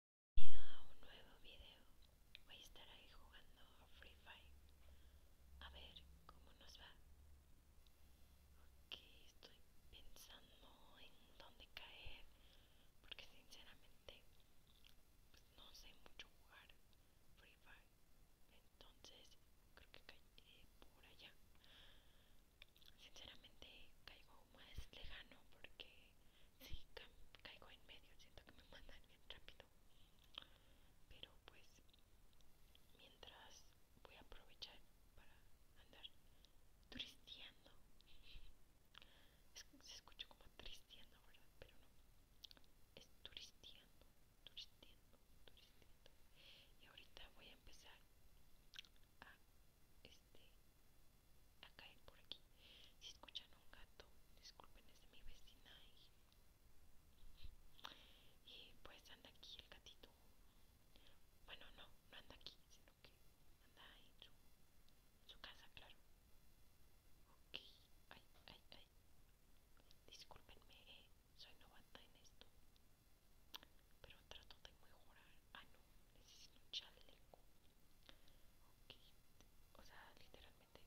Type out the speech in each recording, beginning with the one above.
a un nuevo video. Voy a estar ahí jugando Free Fire. A ver cómo nos va. porque estoy pensando en dónde caer. Porque sinceramente pues, no sé mucho jugar Free Fire. Entonces creo que caeré eh, por allá. Sinceramente caigo más lejano porque sí, caigo en medio, siento que me mandan bien rápido. Pero pues, mientras voy a aprovechar para andar turistiendo se escucha como tristeando, ¿verdad? Pero no. Es turisteando, turisteando, turisteando. Y ahorita voy a empezar este, a, caer por aquí. Si escuchan un gato, disculpen, es de mi vecina y, pues anda aquí el gatito. Bueno, no, no anda aquí, sino que anda ahí su, en su casa, claro. Ok, ay, ay, ay. Disculpenme, eh, soy novata en esto. Pero trato de mejorar. Ah, no, necesito un chaleco. Ok, o sea, literalmente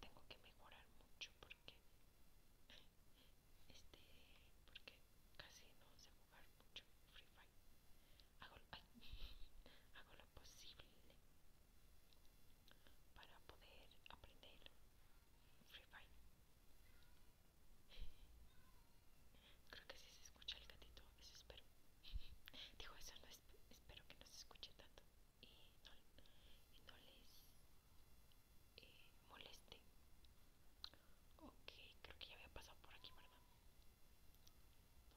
tengo que mejorar mucho porque este porque casi no sé jugar mucho Free Fire. Hago, hago lo posible para poder aprender Free Fire. Creo que sí se escucha el gatito, eso espero. Dijo eso no espero que no se escuche tanto y no, les eh, moleste. Ok, creo que ya había pasado por aquí, ¿verdad?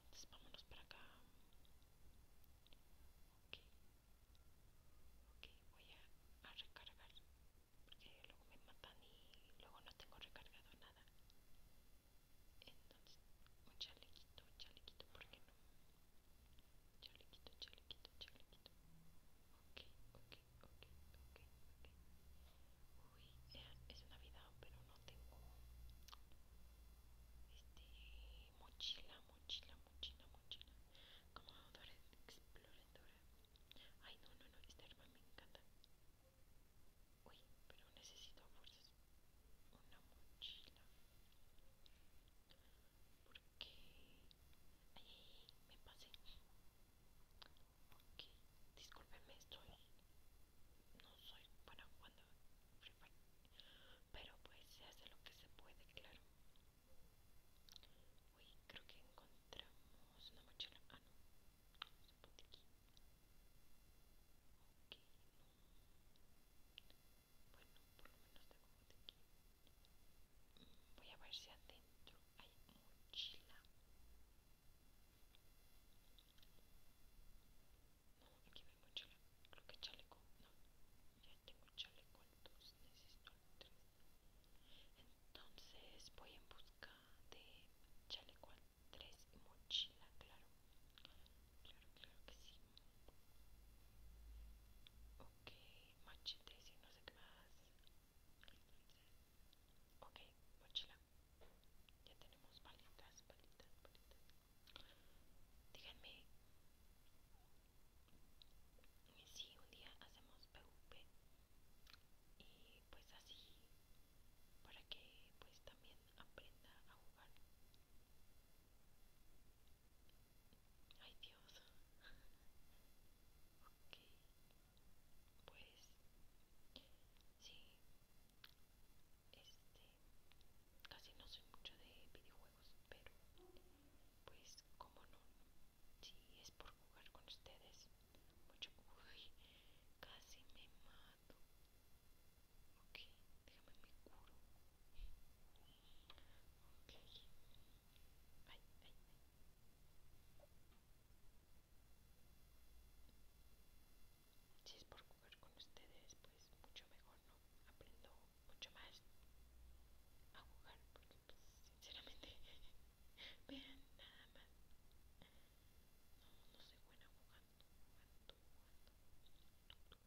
Entonces vámonos para acá. Ok. voy a recargar. Porque luego me matan y luego no tengo recargado nada. Entonces, un chalequito, un chalequito, ¿por qué no? Chalequito, chalequito, chalequito. Ok, ok, ok, ok, ok. Uy, es Navidad, pero no tengo este mochila, mochila, mochila, mochila. Como Dora exploradora. Ay, no, no, no, esta hermana me encanta. Uy, pero necesito fuerzas una mochila. Porque... Ay, me pasé. porque, discúlpenme, estoy... No soy para jugando Pero pues se hace lo que se puede, claro. Uy, creo que encontramos una mochila. Ah, no. Voy a ver si adentro hay mochila. No, aquí no hay mochila. Creo que chaleco. No, ya tengo chaleco necesito Entonces voy a buscar de chaleco tres tres y mochila, claro. Claro, claro que sí. Ok, tres y no sé qué más. Ok, mochila. Ya tenemos palitas, palitas, palitas. Díganme si un día hacemos PvP y pues así para que pues también aprenda a jugar ay dios ok pues sí este casi no soy mucho de videojuegos pero pues como no si es por jugar con ustedes mucho casi me mato ok déjame me curo ok ay ay ay si es por jugar con ustedes pues mucho mejor no aprendo mucho más a jugar Sinceramente, vean nada más. No, no buena jugando, Aquí, que hay?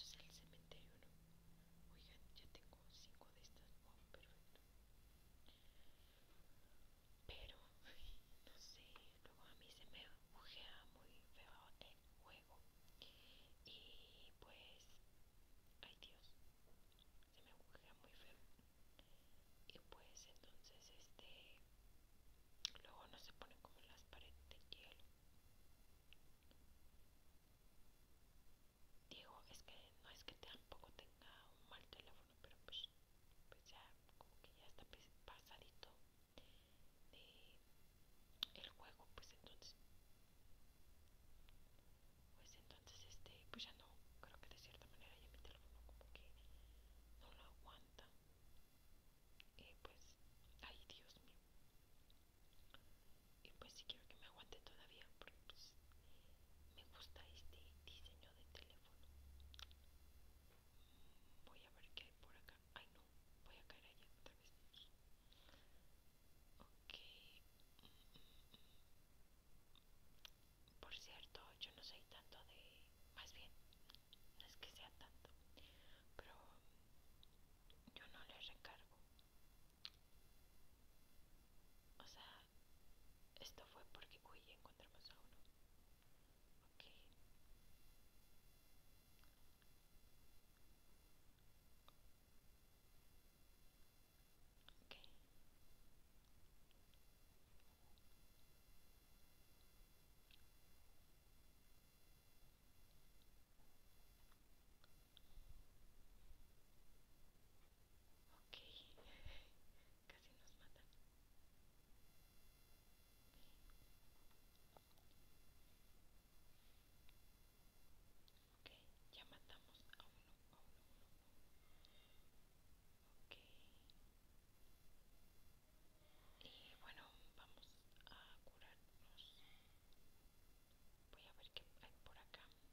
Esto es el cementerio, ¿no? ya tengo cinco de estas. Wow, oh, perfecto pero no sé, luego a mí se me bujea muy feo el juego y pues, ay Dios, se me bujea muy feo y pues entonces este, luego no se ponen como las paredes de hielo digo es que no es que tampoco tenga un mal teléfono pero pues, pues ya como que ya está pasadito el juego pues entonces pues entonces este pues ya no creo que de cierta manera ya mi teléfono como que no lo aguanta y eh, pues ay Dios mío y pues si quiero que me aguante todavía porque pues me gusta este diseño de teléfono voy a ver qué hay por acá ay no voy a caer allá otra vez ok por cierto yo no soy tanto de más bien no es que sea tanto pero yo no les recargo o sea, esto fue porque, hoy encontramos a uno. Ok. Ok. Okay, casi nos matan. Ok, ya matamos a uno, a uno, Y bueno, vamos a curarnos. Voy a ver qué hay por acá.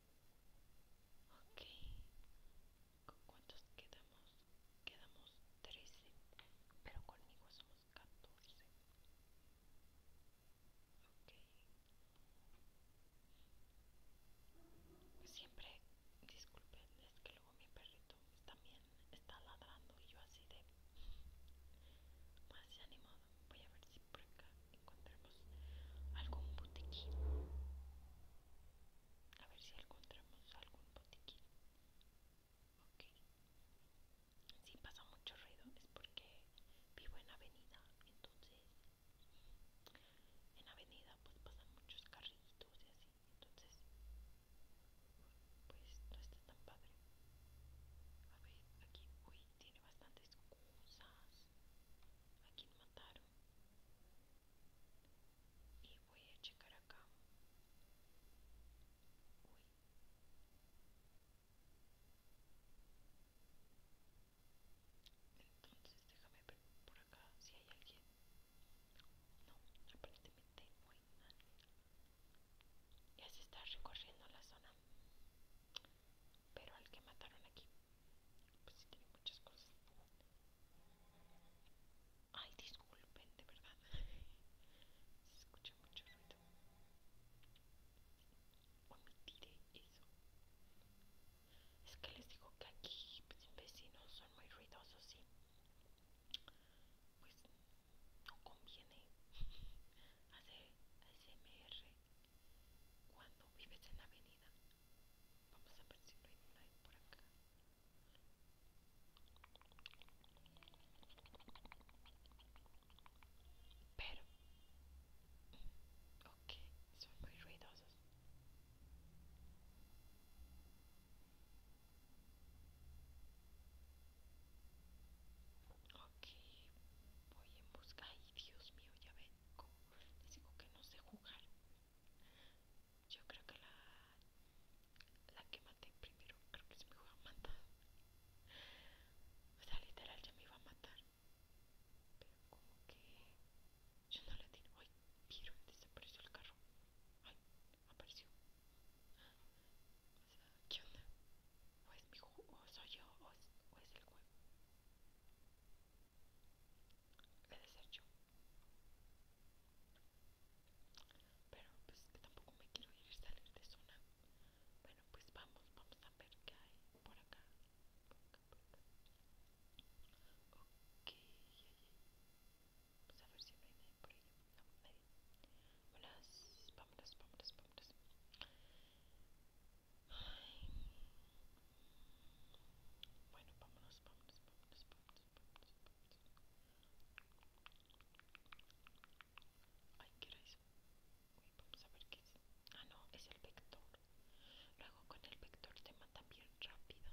Ok, ¿con cuántos quedamos? Quedamos 13, pero conmigo somos 14. Ok. Siempre, disculpen, es que luego mi perrito también está ladrando y yo así de... Más animado. Voy a ver si por acá encontramos algún botiquín. A ver si encontramos algún botiquín. Ok. Si pasa mucho ruido es porque vivo en avenida. Entonces, en avenida pues pasan muchos carritos y así. Entonces, pues no está tan padre. A ver, aquí, uy, tiene bastantes cosas. Aquí quien mataron y voy a checar acá entonces déjame ver por acá si hay alguien no aparentemente no hay ya se está recorriendo la zona pero al que mataron aquí, pues sí tiene muchas cosas. Ay, disculpen, de verdad. Se escucha mucho ruido. Omitiré eso. Es que les digo que aquí pues, vecinos son muy ruidosos, sí. Pues no conviene hacer ASMR cuando vives en la avenida. Vamos a ver si no hay por acá. Pero, mm, ok, son muy ruidosos que voy en busca y Dios mío, ya ven, como les digo que no sé jugar. Yo creo que la, la que maté primero, creo que es mi iba a matar. O sea, literal ya me iba a matar. Pero como que yo no le tiro. Ay, vieron, desapareció el carro. Ay, apareció. O sea, ¿qué onda? o mi hijo, o soy yo, o es, el juego. de ser yo. Pero pues que tampoco me quiero ir a salir de zona. Bueno, pues vamos, vamos a ver qué hay por acá. Por acá, por acá. Ok, Vamos pues, a ver si no hay nadie por ahí. No, Vámonos, vámonos, vámonos, vámonos. Ay. Bueno, vámonos, vámonos, vámonos, vámonos, Ay, ¿qué vamos a ver qué es. Ah, no, es el vector. Luego con el vector te mata bien rápido.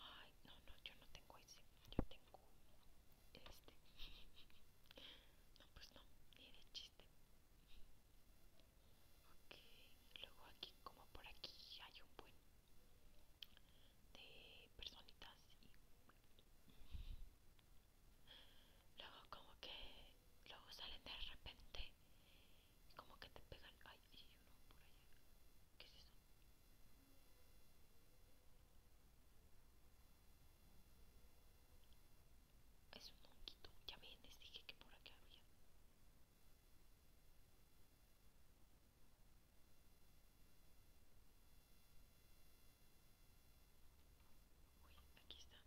Ay, no, no, yo no tengo ese. Yo tengo este no pues no ni de chiste ok luego aquí como por aquí hay un buen de personitas luego como que luego salen de repente como que te pegan ay hay uno por allá ¿qué es eso? Es un monquito, ya ven, les dije que por acá había. Uy, aquí está.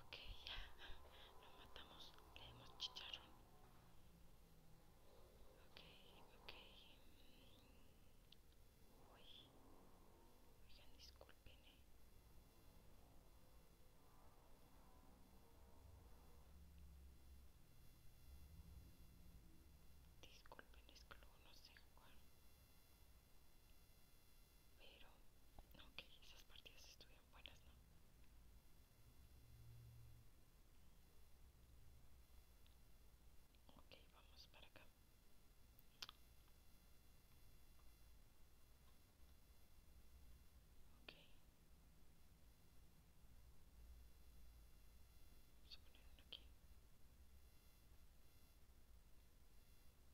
Ok, ya. nos matamos. Le hemos chicharon Ok, ok. Uy. Oigan, disculpen, eh. Disculpen, es que luego no sé cuál pero, aunque okay, esas partidas estuvieron buenas, ¿no? Ok, vamos para acá. Ok. Vamos a poner aquí.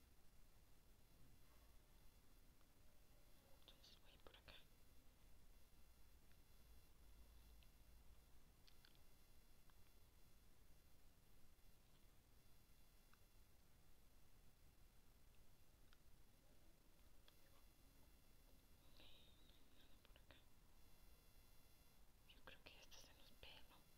Entonces voy por acá. Nada por acá. Yo creo que esto se nos ve, ¿no?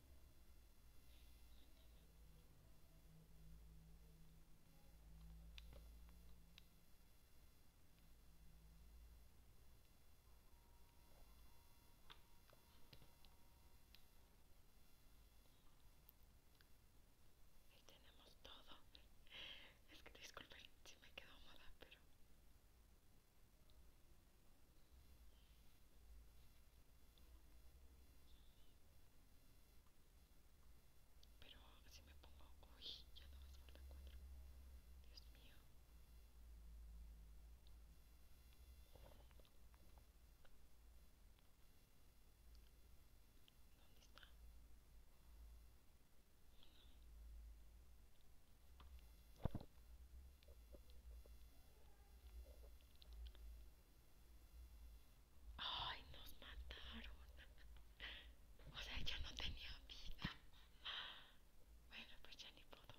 y tenemos todo. Es que disculpen si me quedo mala pero pero si me pongo, hoy ya no me a la Dios mío. ¿Dónde está? Ay, nos mataron. O sea, yo no tenía vida. Bueno, pues ya ni puedo.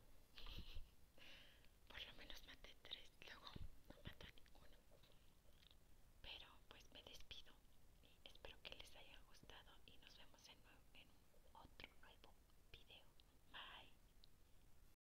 Por lo menos maté tres, luego no maté ninguno. Pero pues me despido y espero que les haya gustado y nos vemos en, en otro nuevo video. Bye.